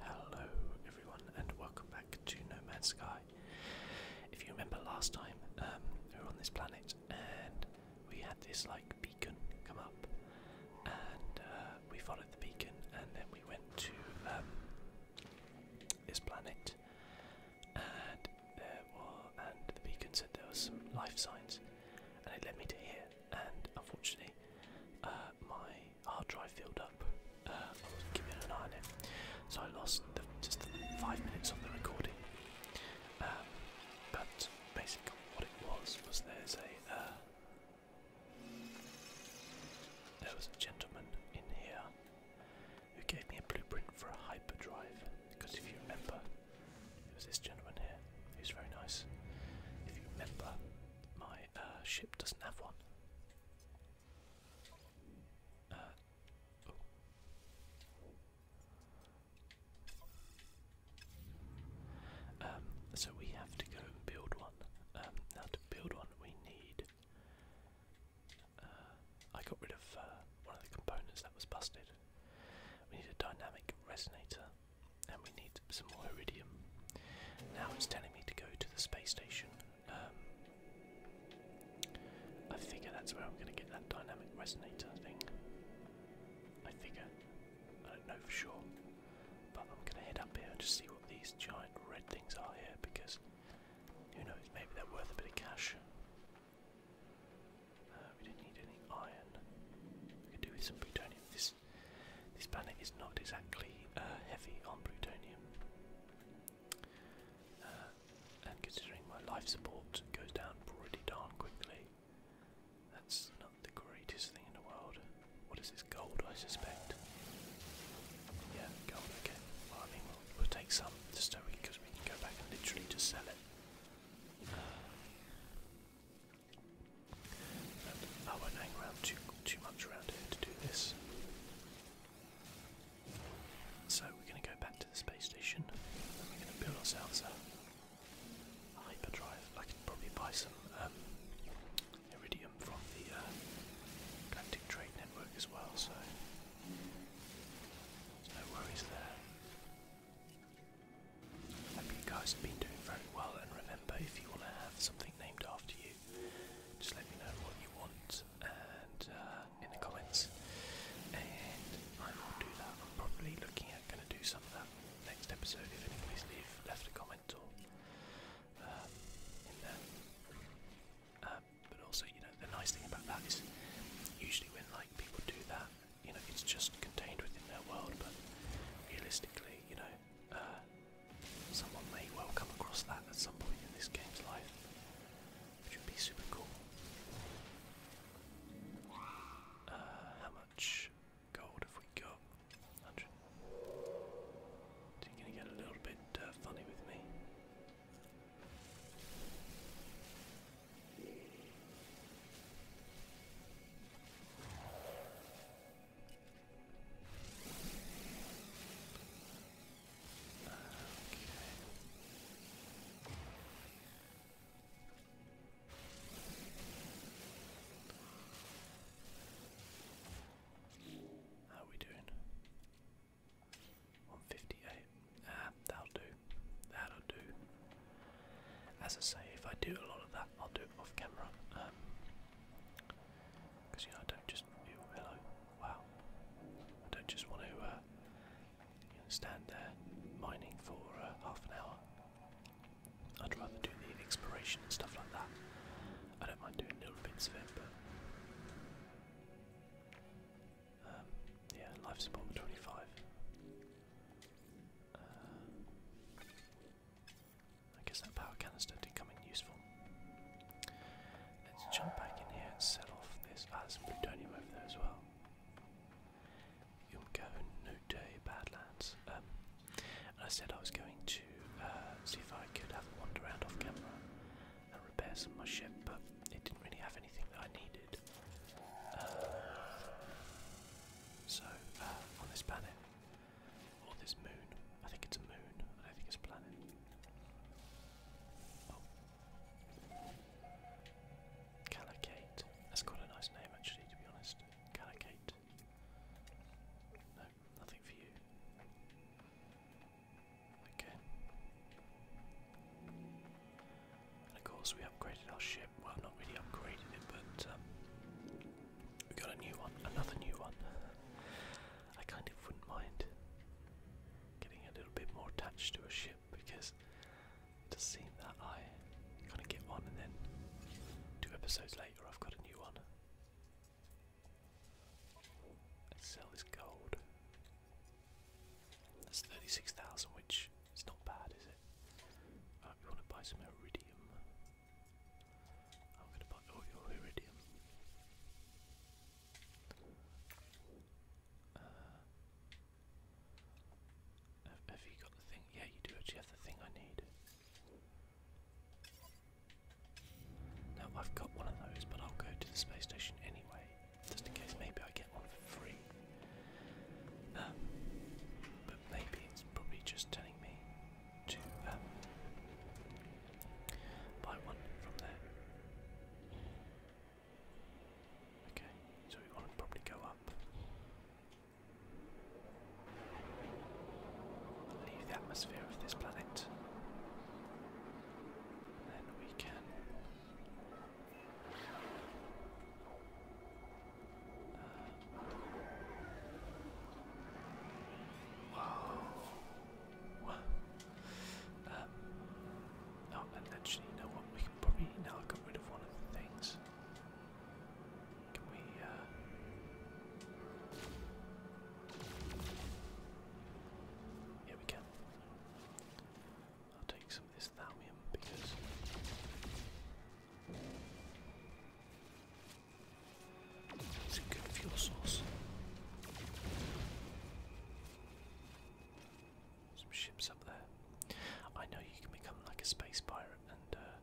Hello everyone and welcome back to No Man's Sky. If you remember last time, um, we were on this planet and we had this like beacon come up and uh, we followed the beacon and then we went to um, this planet and there were, and the beacon said there were some life signs and it led me to here and unfortunately uh, my hard drive filled up. Uh, um, give So I lost just the five minutes of the recording. Um, but basically, what it was was there's a uh, there was a gentleman in here who gave me a blueprint for a hyperdrive. Because if you remember, it was this gentleman here who was very nice. If you remember, my uh, ship doesn't have one. Uh, oh. um, so we have to go and build one. Um, now to build one we need... Uh, I got rid of one of the components that was busted. We need a dynamic resonator and we need some more iridium. Now it's telling me to go to the space station. Um, I figure that's where I'm going to get that dynamic resonator thing. I figure. I don't know for sure, but I'm going to head up here and just see what these giant red things are here because who knows, maybe they're worth a bit of cash. Uh, we didn't need iron. We could do with some plutonium. This this planet is not exactly uh, heavy on plutonium. Uh, and considering my life support goes down pretty darn quickly, that's not the greatest thing in the world. What is this gold, I suspect? Yeah, gold, okay. Well, I mean, we'll, take some just so we, cause we can go back and literally just sell it. I won't hang around too, too much around here to do this. So we're going to go back to the space station and we're going to build ourselves a hyperdrive. I can probably buy some um, iridium from the uh, Trade Network as well, so there's no worries there. I hope you guys have been doing very well, and remember, if you want to have something named after you, just let me know what you want and uh, in the comments, and I will do that. I'm probably looking at going to do some of that next episode if anybody's leave, left a comment or um, in there. Um, but also, you know, the nice thing about that is usually when like people do that, you know, it's just contained within their world, but realistically, you know, uh, someone may well come across that at some point in this game's life, which would be super cool. Uh, how much gold have we got? 100. you're going to get a little bit uh, funny with me. How are we doing? 158. Ah, that'll do. That'll do. As I say, if I do a lot of that I'll do it off camera. because um, you know I don't just. hello. Wow. I don't just want to uh, stand there mining for uh, half an hour. I'd rather do the exploration and stuff like that. I don't mind doing little bits of it, but. Um, yeah, life support 25. Uh, I guess that power canister did come in useful. Let's jump back in here and set off this. Ah, plutonium over there as well. Yumko Note Badlands. Um, and I said I was going to uh, see if I could have a wander around off camera and repair some of my ship, but it didn't really have anything that I needed. Uh, so, uh, on this planet, or oh, this moon. I think it's a moon. I don't think it's a planet. Oh. Calacate. That's quite a nice name actually, to be honest. Calacate. No, nothing for you. Okay. of course we upgraded our ship. Well, not really upgraded it, but um, we got a new one, another new one. I kind of wouldn't mind getting a little bit more attached to a ship because it does seem that I kind of get one and then two episodes later I've got a new one. sell this gold. That's 36,000, which is not bad, is it? Right, we want to buy some iridium. I'm gonna buy all your iridium. Uh, have, you got the thing? Yeah, you do actually have the thing I need. Now I've got one of those, but I'll go to the space station anyway, just in case maybe I get one for free. Um, but maybe it's probably just telling me to um, buy one from there. Okay, so we want to probably go up. Leave the atmosphere of this planet. And then we can uh, Whoa. Um, oh, and actually, you know what? We can probably now get rid of one of the things. Can we, uh, Yeah, we can. I'll take some of this thalmium because. It's a good fuel source. Some ships up there. I know you can become like a space pirate and uh,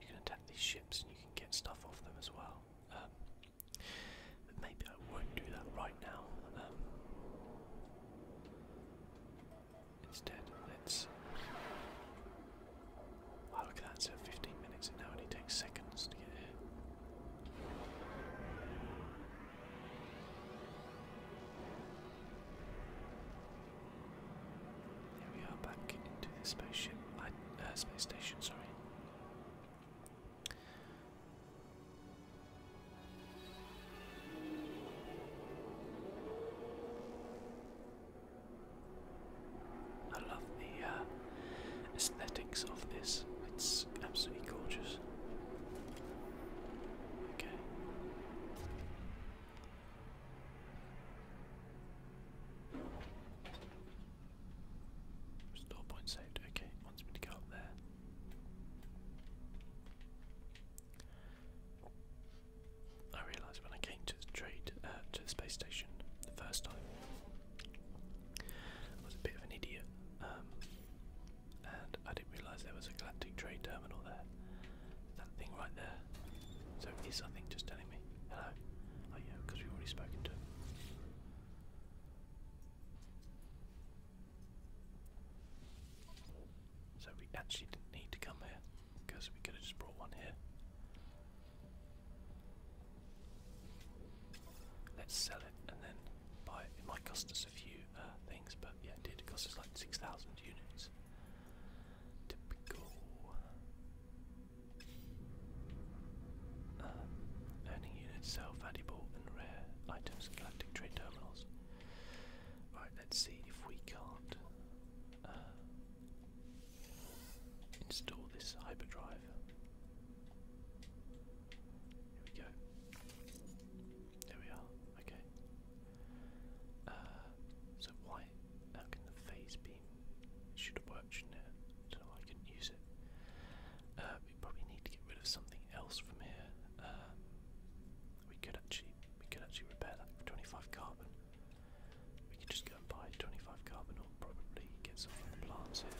you can attack these ships and you can get stuff off them as well. Um, but maybe I won't do that right now. Um, instead, let's Oh, look at that, so 15 minutes and now it only takes seconds to get here. There we are back into the spaceship, uh, space station, sorry. I love the uh, aesthetics of this. It's absolutely gorgeous. Okay. Store point saved. Okay, wants me to go up there. I realised when I came to trade uh, to the space station the first time I was a bit of an idiot, um, and I didn't realise there was a galactic trade terminal there. That thing right there. So is something just telling me hello? Oh yeah, because we've already spoken to him. So we actually didn't need to come here because we could have just brought one here. Let's sell it and then buy it. might cost us a few uh, things, but yeah, it did. It cost us like 6,000 units. Typical. Um, earning units sell valuable and rare items at galactic trade terminals. Right, let's see if we can't uh, install this hyperdrive. Here we go. There we are. Okay. Uh, so why? How can the phase beam? It should have worked, shouldn't it? don't know why I couldn't use it. Uh, we probably need to get rid of something else from here. Um, we could actually, we could actually repair that 25 carbon. We could just go and buy 25 carbon i probably get some from the plants here.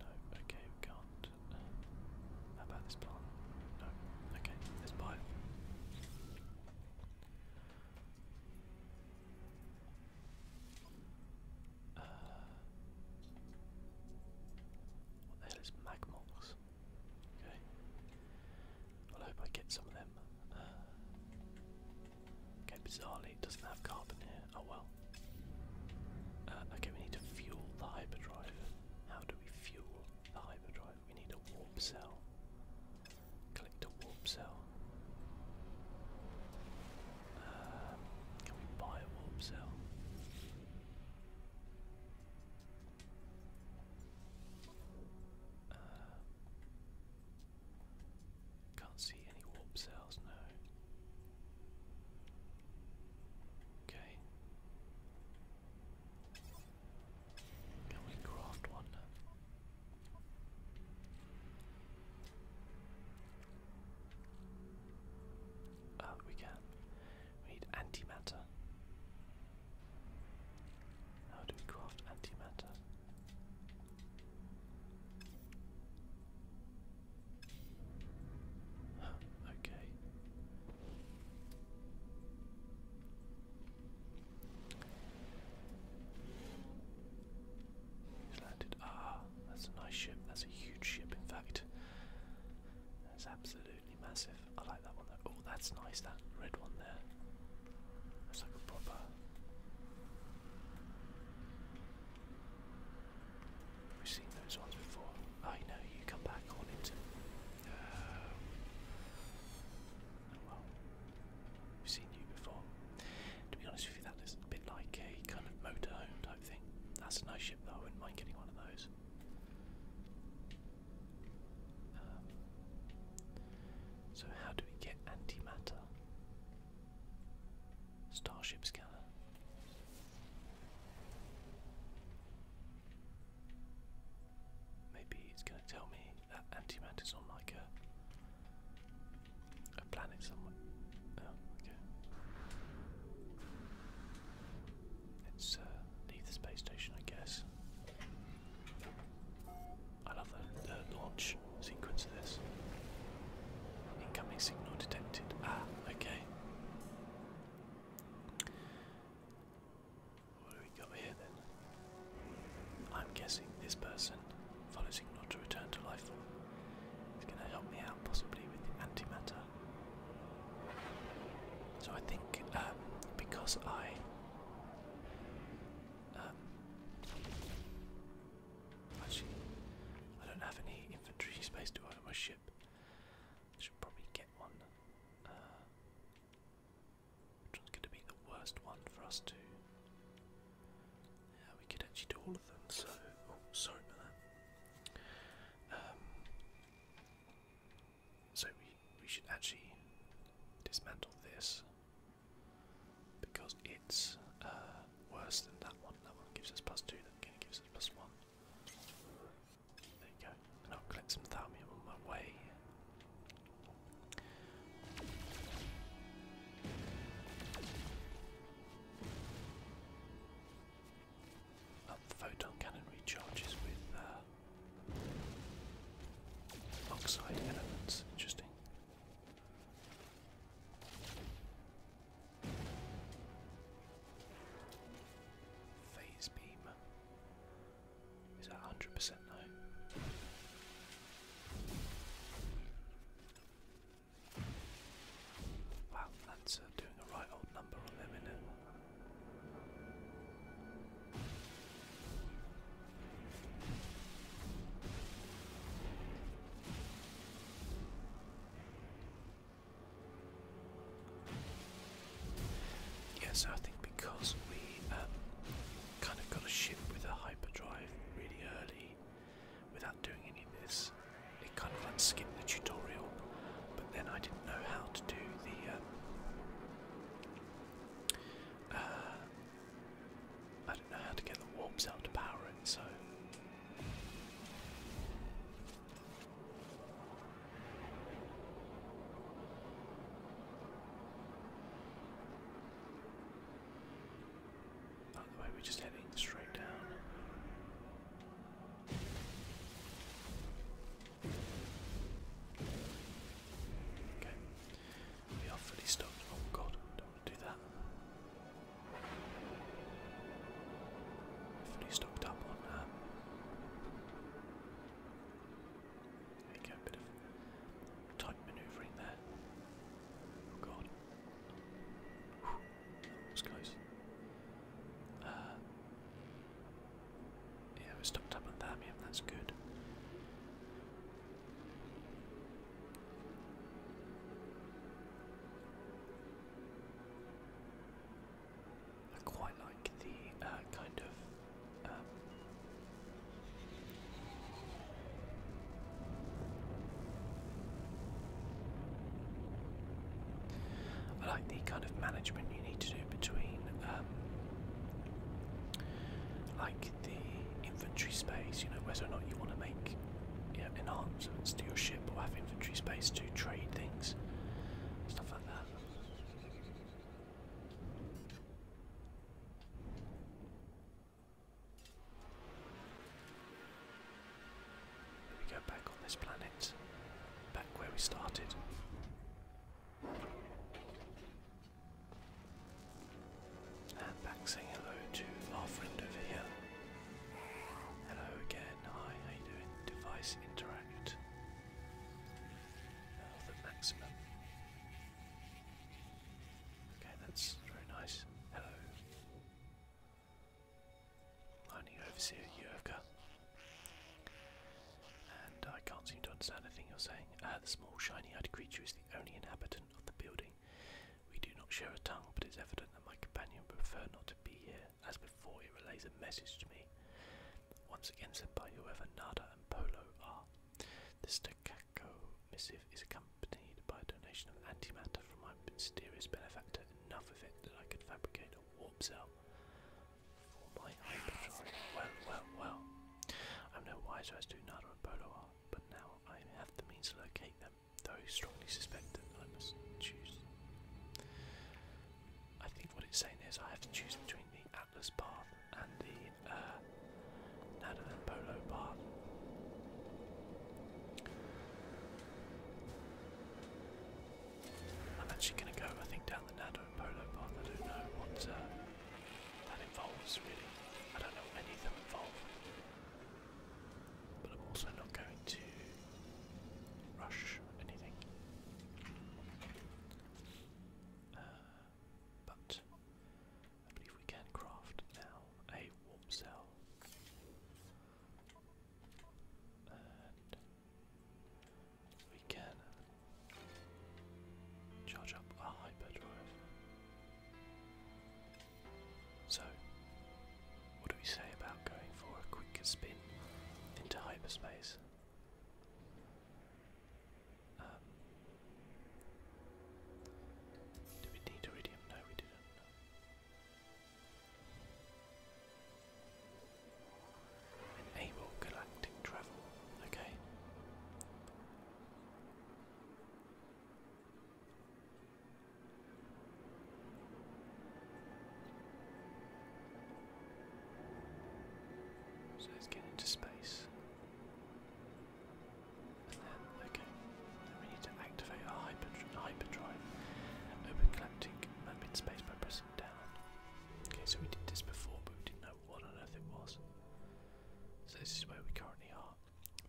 No, okay, we can't. how uh, about this plant? No, okay, let's buy it. Uh, what the hell is Magmox? Okay. I hope I get some of them. Uh, Okay, bizarrely it doesn't have carbon here. Oh well. Uh, okay, we need to fuel the hyperdrive. How do we fuel the hyperdrive? We need a warp cell. Collect a warp cell. Uh, can we buy a warp cell? Uh, can't see any warp cells, now. Okay. Can we craft one? Uh, we can. We need antimatter. How do we craft antimatter? okay. He's landed. Ah, that's a nice ship. That's a huge ship, in fact. That's absolutely massive. I like that one though. Oh, that's nice, that red one there. That's like a proper We've seen those ones before. I oh, know you come back on it. Um, oh, well, we've seen you before. To be honest with you, that is a bit like a kind of motorhome type thing. That's a nice ship though. I wouldn't mind getting one of those. Um, so how do we get antimatter? Starship scanner. Maybe it's going to tell me that antimatter's on like a a planet somewhere. Oh, Let's uh, leave the space station, I guess. I love the, launch sequence of this. Incoming signal detected. Ah, okay. What do we got here then? I'm guessing this person, follow not to return to life form, is going to help me out possibly with the antimatter. So I think um, because I. Um, Actually, I don't have any infantry space to on my ship. Should probably get one. Uh, which one's going to be the worst one for us to? Yeah, we could actually do all of them. So, oh, sorry Um, so we we should actually dismantle this because it's uh, worse than that one. That one gives us plus two, that again gives us plus one. There you go. I'll collect some thalmium on my way. photon cannon recharges with uh, oxide elements. Interesting. Phase beam. Is that 100% now? Wow, that's uh, doing a right old number on them, is it? Yeah, I think because we um, kind of got a ship with a hyperdrive really early without doing any of this, it kind of like skipped the tutorial, but then I didn't know how to do the. Um, uh, I don't know how to get the warps out to power it, so. the way, we're just heading straight down. Okay, we are fully stopped. Oh god, do that. Fully stocked up on um, there you a bit of tight manoeuvring there. Oh god. that was close. Uh, yeah, we stocked up on Thamium, that's good. I quite like the uh, kind of um, I like the kind of management you need to do between um, like the inventory space, you know, whether or not you want to make yeah, enhancements to your ship or have infantry space to trade things, stuff like that. We go back on this planet, back where we started. Uh, back saying hello to our friend over here. Hello again, hi, how you doing? Device interact. Uh, the maximum. Okay, that's very nice. Hello. Mining Overseer Yurka. And I can't seem to understand anything you're saying. Uh, the small shiny-eyed creature is the only inhabitant of the building. We do not share a tongue, but it's evident that my companion prefers not to be here. As before, he relays a message to me. Once again sent by whoever Nada and Polo are. This Takako missive is accompanied by a donation of antimatter from my mysterious benefactor, enough of it that I could fabricate a warp cell for my hyperdrive. Well, well, well. I'm no wiser as to Nada and Polo are, but now I have the means to locate them them, strongly suspect that I must choose. I think what it's saying is I have to choose between the Atlas path and the uh, Polo path. I'm actually going to go, I think, down the Nado and Polo path. I don't know what uh, that involves, really. I don't know what any of them involve. But I'm also not going to rush anything. Uh, but I believe we can craft now a warp cell. And we can charge up a hyperdrive. So, what do we say about going for a quicker spin into hyperspace? Um, do we need iridium? No, we didn't. Enable galactic travel. Okay. So let's get into space. Ah, okay, then we need to activate our hyperdrive, hyperdrive open galactic map space by pressing down. Okay, so we did this before, but we didn't know what on earth it was. So this is where we currently are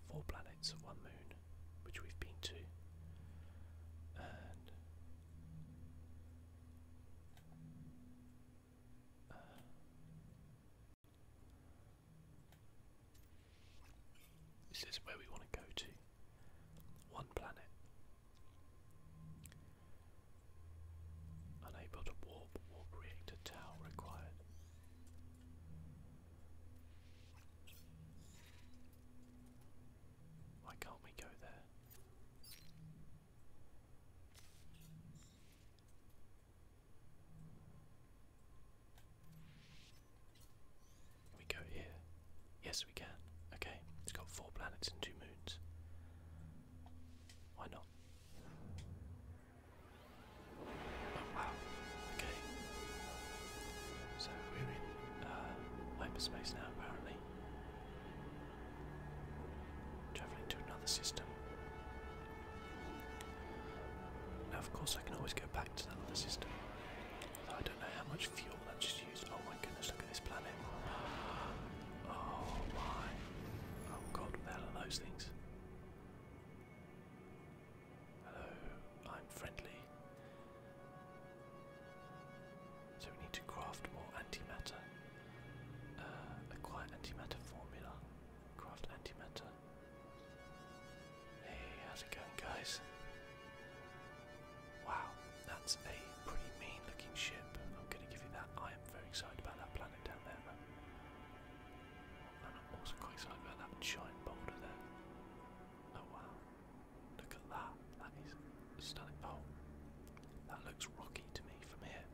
four planets one moon, which we've been to, and uh, this is where we want to go to. One planet. Unable to warp, warp reactor tower required. Why can't we go there? we go here? Yes, we can. Okay, it's got four planets and two moons. Why not? Oh wow, okay. So we're in uh, hyperspace now apparently. Travelling to another system. Now of course I can always go back to that other system. I don't know how much fuel that just used. Oh my goodness, look at this planet. Oh my. Oh god, what are those things? Hello, I'm friendly. So we need to craft more antimatter. Uh, acquire antimatter formula. Craft antimatter. Hey, how's it going, guys? Wow, that's a pretty mean looking ship. I'm gonna give you that. I am very excited about that planet down there. Though. I'm also quite excited about that giant boulder there. Oh wow. Look at that. That is stunning. Oh, that looks rocky to me from here.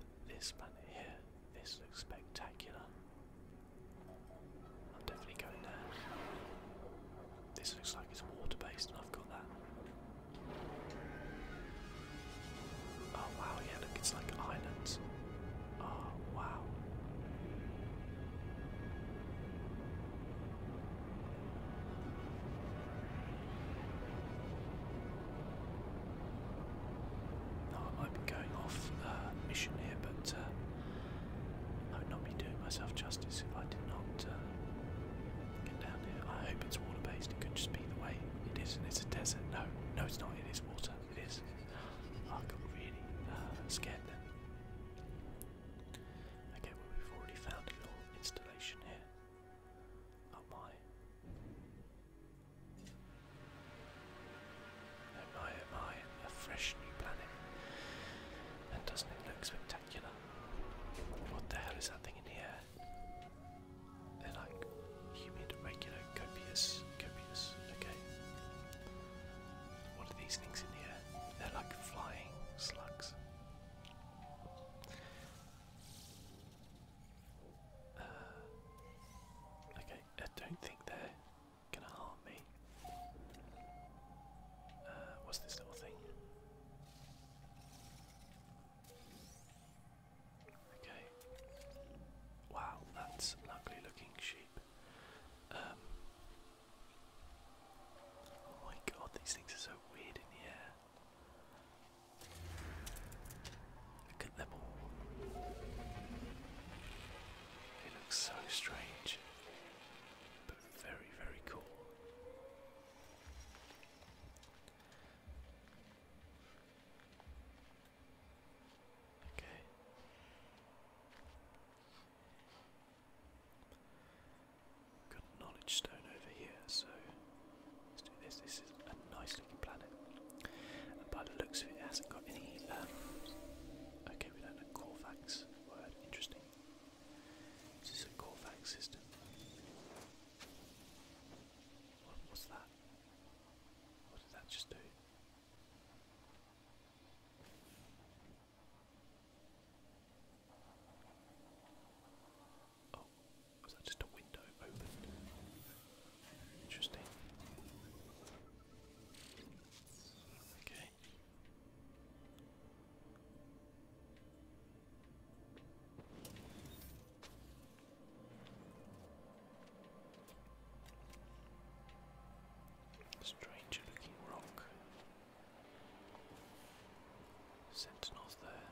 But this planet here, this looks spectacular. I'm definitely going there. This looks like it's water based, and I've got that. Oh wow, yeah, look, it's like islands. Oh, wow. I might be going off uh, mission here, but uh, I would not be doing myself justice if I did not uh, get down there. I hope it's water based, it could just be the way it is, and it's a desert. No, no, it's not, it is water. It is. I got really scared then. Okay, well we've already found a little installation here. Oh my. Oh my, oh my, fresh new planet. And doesn't it look spectacular? What the hell is that thing in here? They're like humid, regular, copious, copious, okay. What are these things in here? They're like flying slugs. Uh, okay, I don't think they're gonna harm me. Uh, what's this little thing? Okay. Wow, that's ugly looking sheep. Um, Oh my god, these things are so weird in the air. Look at them They look so strange, but very, very cool. Okay. Good knowledge stone over here, so let's do this. This is a nice looking planet. And by the looks of it, hasn't got any. Um, okay, we don't know Corvax word. Interesting. This is a Corvax system. what's that? What did that just do? Oh, was that just a window open? Interesting. Okay. Strange looking rock. Sentinels there.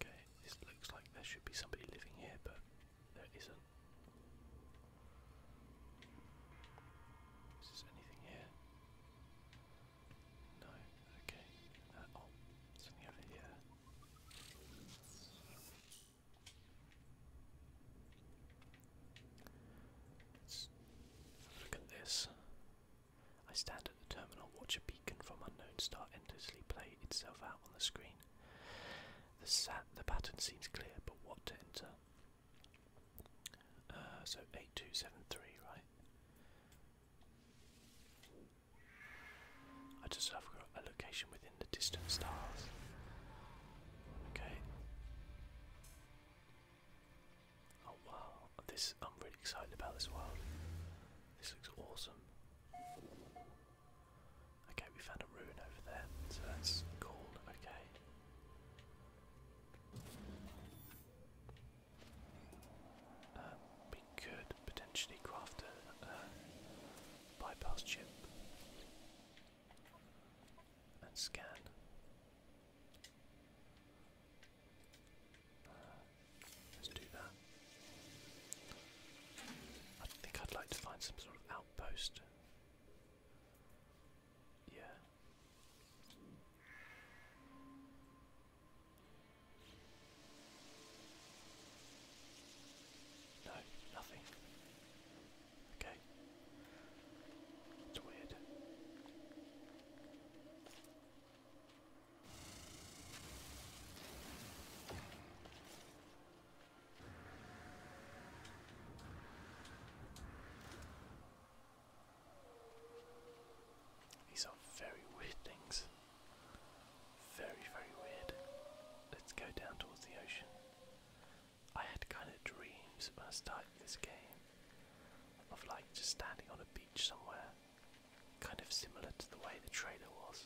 Okay, this looks like there should be somebody living here, but there isn't. Is there anything here? No, okay. Uh, oh, something over here look at this. I stand at the terminal, watch a beacon from unknown star endlessly play itself out on the screen. The, sat the pattern seems clear, but what to enter? Uh, so 8273, right? I just have got a location within the distant stars. Okay. Oh wow, this I'm really excited about this world. This looks awesome. Okay, we found a ruin over there, so that's cool, okay. Uh, could potentially craft a, bypass chip and scan. Uh, let's do that. I think I'd like to find some sort of outpost. Yeah. No, nothing. Okay. It's weird. These are very weird things. Very, very weird. Let's go down towards the ocean. I had kind of dreams when I started this game of like just standing on a beach somewhere, kind of similar to the way the trailer was.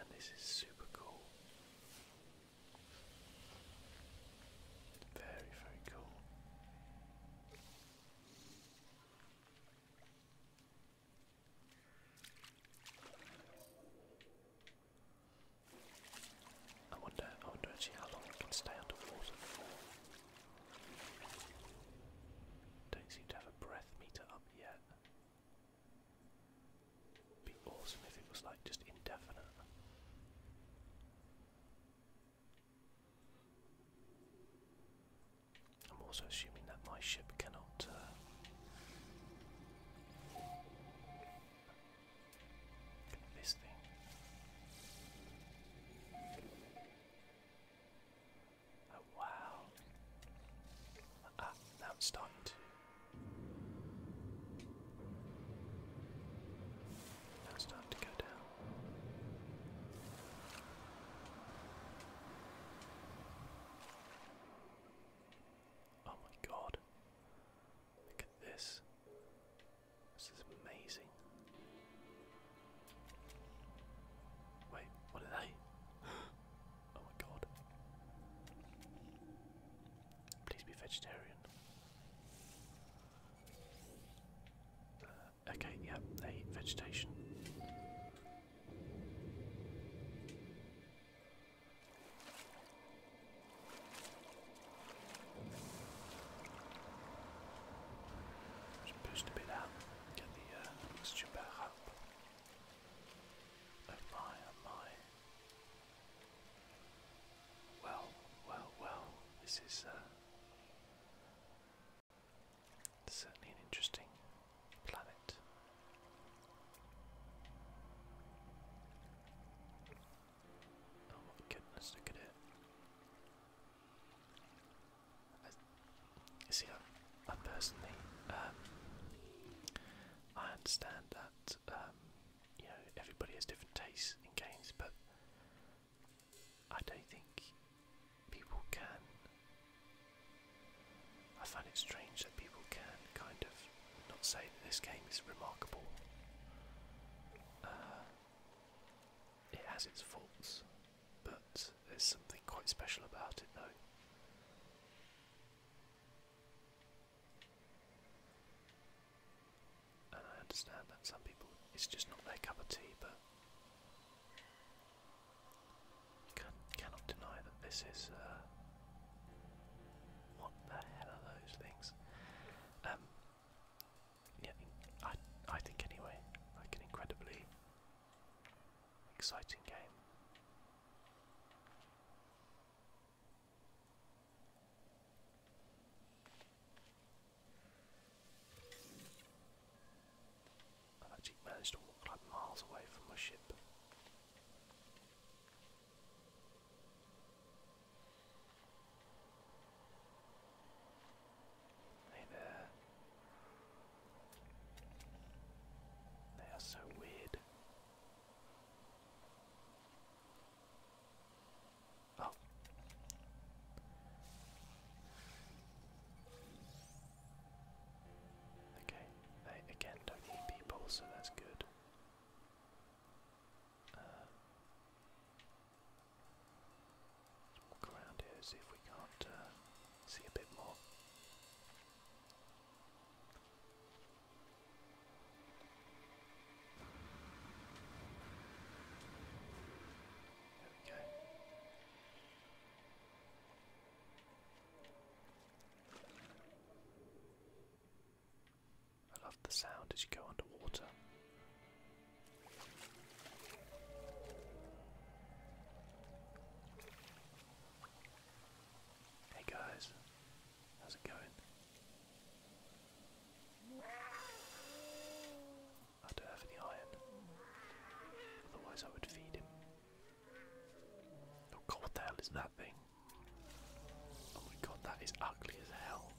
And this is super cool. Very, very cool. I wonder, I wonder actually how long it can stay underwater for. Don't seem to have a breath meter up yet. Be awesome if it was like just indefinite. I'm also assuming that my ship cannot. Uh, this thing. Oh wow! Ah, now it's starting to. Now it's starting to go down. Oh my god. Look at this. This is amazing. Wait, what are they? oh my god. Please be vegetarian. Uh, okay, yeah, they eat vegetation. Just boost a bit out, get the uh, mixture back Oh my, oh my. Well, well, well, this is uh, certainly an interesting planet. Oh my goodness, look at it. you see, I personally, um, I understand that, um, you know, everybody has different tastes in games, but I don't think people can I find it strange that people can kind of not say that this game is remarkable. Uh, it has its faults, but there's something quite special about it, though. And I understand that some people, it's just not their cup of tea, but can, cannot deny that this is. Uh, what the hell are those things? Um, I, think anyway, like an incredibly exciting game. i actually managed to walk like miles away from my ship. Hey there. They are so weird. Oh. Okay, again don't eat people, so that's good. let's uh, walk around here, see if we can't uh, see a bit more. There we go. I love the sound as you go underwater. Hey guys, how's it going? I don't have any iron, otherwise I would feed him. Oh what the hell is that thing? Oh my god, that is ugly as hell.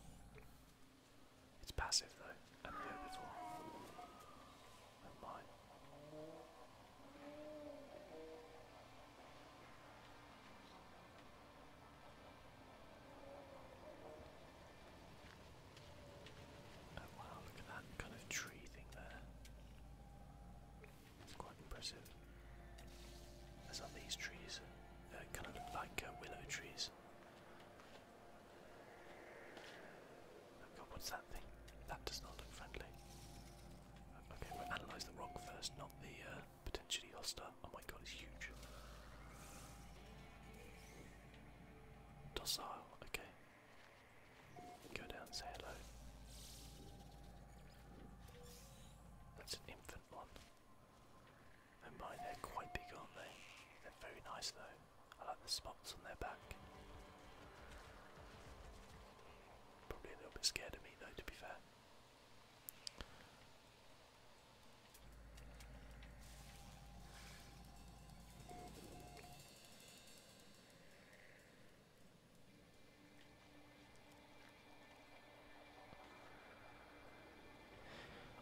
It's passive though, and the orbital. Never Oh wow, look at that kind of tree thing there. It's quite impressive. As are these trees. Uh, they kind of look like uh, willow trees. Oh god, what's that thing? That does not look friendly. Okay, we'll analyse the rock first, not the uh, potentially Oh my god, it's huge. Docile, okay. Go down say hello. That's an infant one. they're quite big, aren't they? They're very nice though. I like the spots on their back. Probably a little bit scared of me though, to be fair.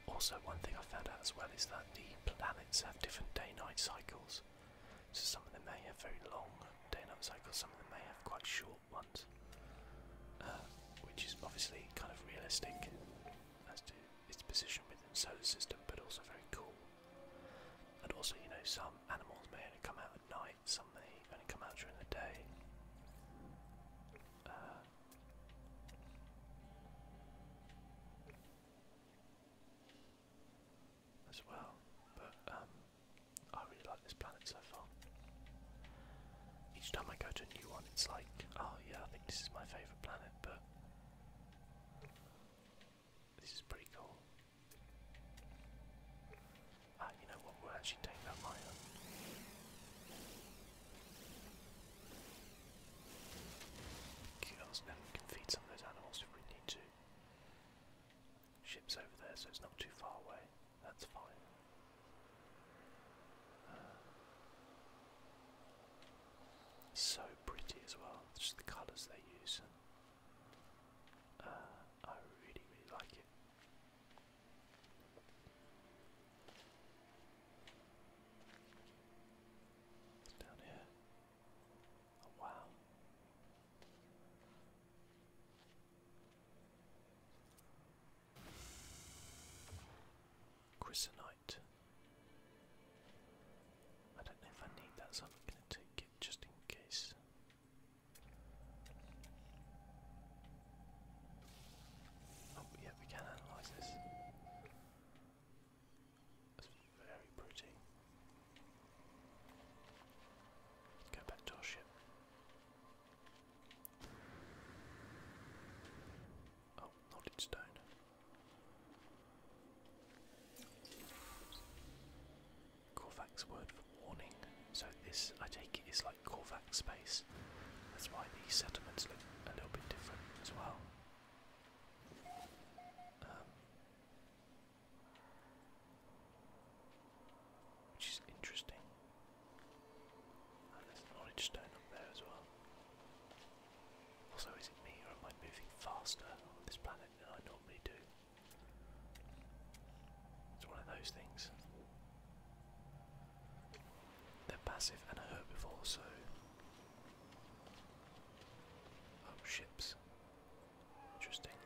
Also, one thing I found out as well is that the planets have different day-night cycles. So some of them may have very long day-night cycles, some of them may have quite short ones, uh, which is obviously kind of realistic as to its position within the solar system, but also very cool. And also, you know, some animals may only come out at night some may only come out during the day. Uh, as well, but um, I really like this planet so far. Each time I go to a new one, it's like, oh yeah, I think this is my favourite planet, but this is pretty cool. Ah, you know what? We'll actually take that miner. Kills, now we can feed some of those animals if we need to. Ship's over there, so it's not too far away. That's fine. Uh, so pretty as well, just the colours they use. Uh, I really, really like it. It's down here. Oh, wow. Chrysonite. I don't know if I need that, so I'm going to take it just in case. Oh, yeah, we can analyze this. That's very pretty. go back to our ship. Oh, knotted stone. Korvac's word for warning. So this, I take it, is like Korvac space. That's why these settlements look a little bit different as well. Um, which is interesting. And ah, there's an orange stone up there as well. Also, is it me or am I moving faster on this planet than I normally do? It's one of those things. They're passive and a herbivore, so. Oh, ships. Interesting.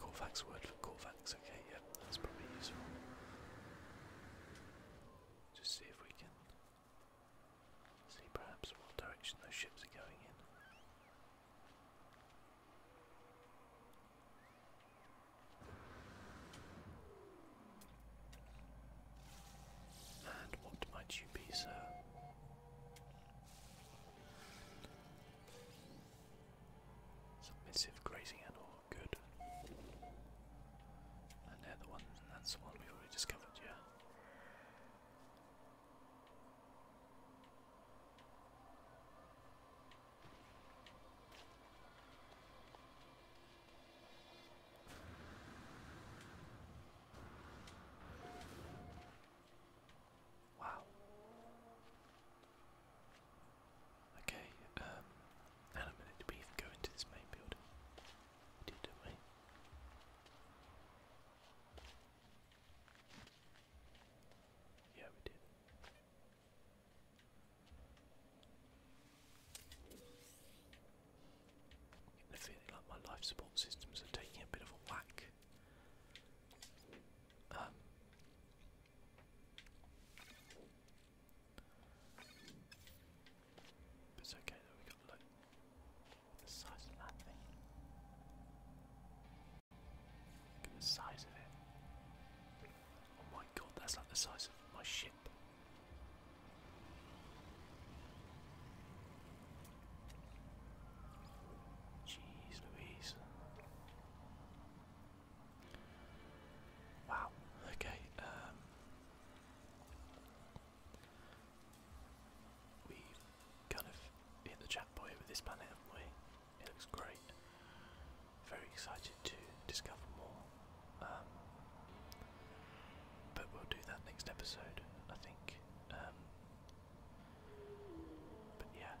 Corvax word for Corvax, okay, yep, that's probably useful. Just see if we can see perhaps what direction those ships are going in. And what might you be, sir? Submissive grazing animal, good. And they're the one, that's the one we already discovered, yeah. Wow. Okay, um, and a minute, did we even go into this main building? We did, not we? Yeah, we did. i feeling like my life support systems are taking a bit of a whack. Um, it's okay though, we got loads the size of that thing. Look at the size of it. Oh my god, that's like the size of my ship. Jeez Louise. Wow, okay, um, we kind of hit the chat boy with this planet, haven't we? It looks great. Very excited to discover more. Um, but we'll do that next episode, I think. Um, but yeah,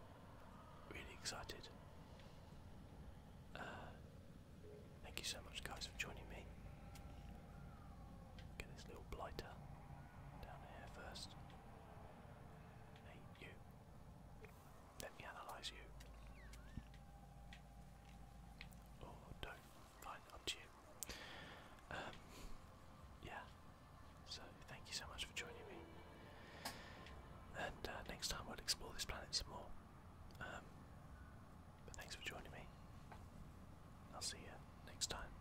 really excited. Uh, thank you so much, guys, for joining me. Get this little blighter. Down here first. Hey, you. Let me analyze you. Or oh, don't. Fine, up to you. Um, yeah. So, thank you so much for joining me. And uh, next time we'll explore this planet some more. Um, thanks for joining me. I'll see you next time.